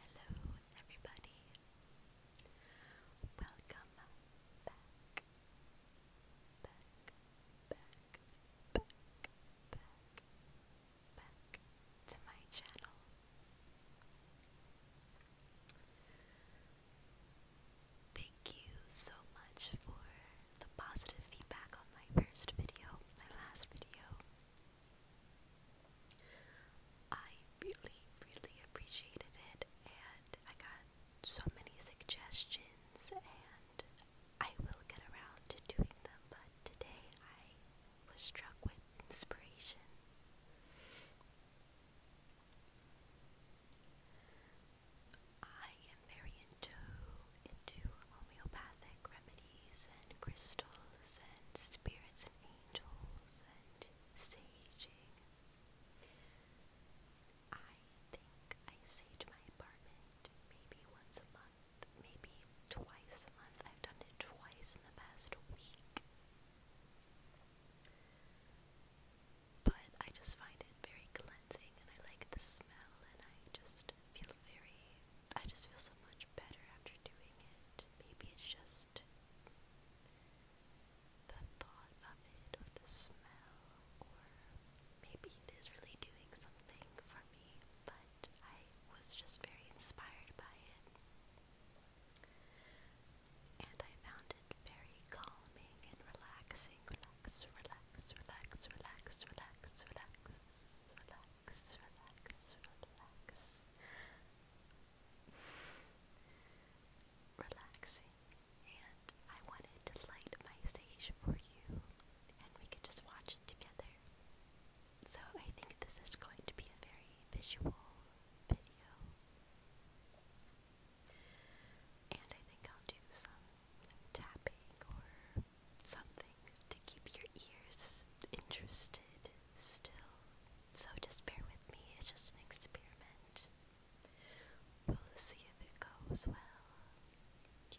Hello, everybody. Welcome back. Back, back, back, back, back to my channel. Thank you so much for the positive feedback on my first video, my last video. I really, really appreciated it, and I got so many suggestions, and I will get around to doing them, but today I was struck with inspiration. I very into into homeopathic remedies and crystals and spirits and angels and saging. I think I sage my apartment maybe once a month, maybe twice a month. I've done it twice in the past week. But I just find it very cleansing and I like the smell and I just feel very. I just feel so much better after doing it. Maybe it's just the thought of it, or the smell, or maybe it is really doing something for me, but I was just very inspired by it. And I found it very calming and relaxing, relax, relax, relax, relax, relax, relax, relax, relax, relax. Relaxing, and I wanted to light my sage for you, and we could just watch it together. So, I think this is going to be a very visual video, and I think I'll do some tapping or something to keep your ears interested still. So just bear with me, it's just an experiment. We'll see if it goes well. Yeah.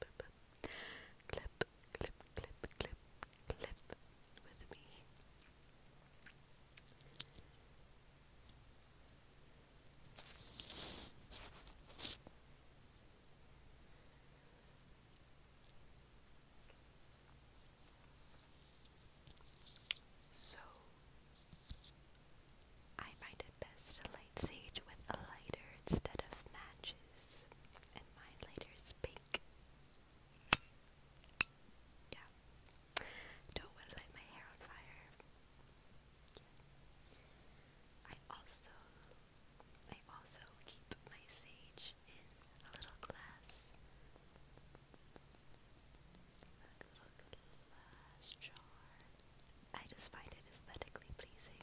clip, clip, clip, clip, clip with me. So, I find it best to light sage with a lighter instead of matches and mine later is pink. Yeah. Don't want to light my hair on fire. I also, I also keep my sage in a little glass, a little glass jar. I just find it aesthetically pleasing.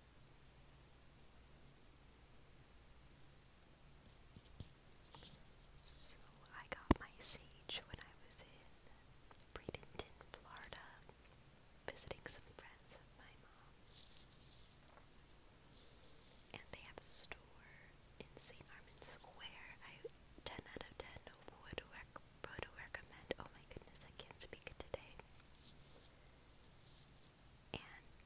So I got my sage when I was in Bradenton, Florida, visiting some friends with my mom. And they have a store in St. Armand Square. I 10 out of 10 would, rec would recommend. Oh my goodness, I can't speak today. And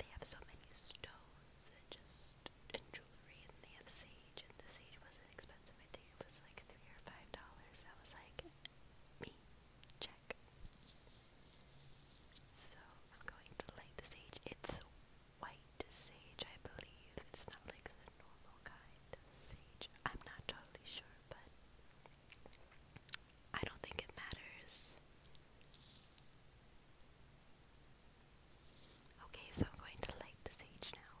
they have so many stones and just and jewelry, and they have sage, and the sage wasn't expensive. I think it was like three or five dollars. And I was like, me, check. So I'm going to light the sage. It's white sage, I believe. It's not like the normal kind of sage. I'm not totally sure, but I don't think it matters. Okay, so I'm going to light the sage now.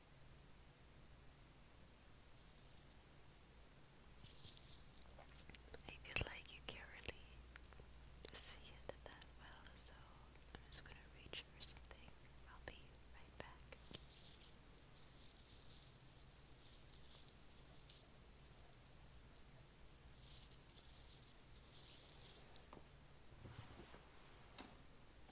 I feel like you can't really see it that well, so I'm just gonna reach for something. I'll be right back.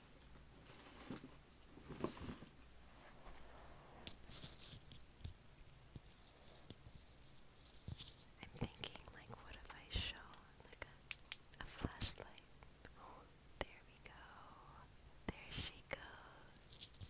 I'm thinking, like, what if I shone like a, flashlight? there we go. There she goes.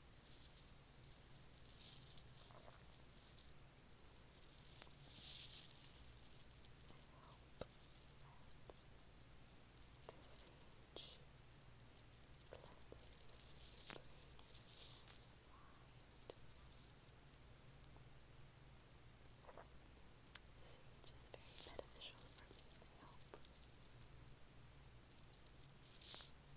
The sage cleanses your brain Sage is very beneficial for me, I hope. It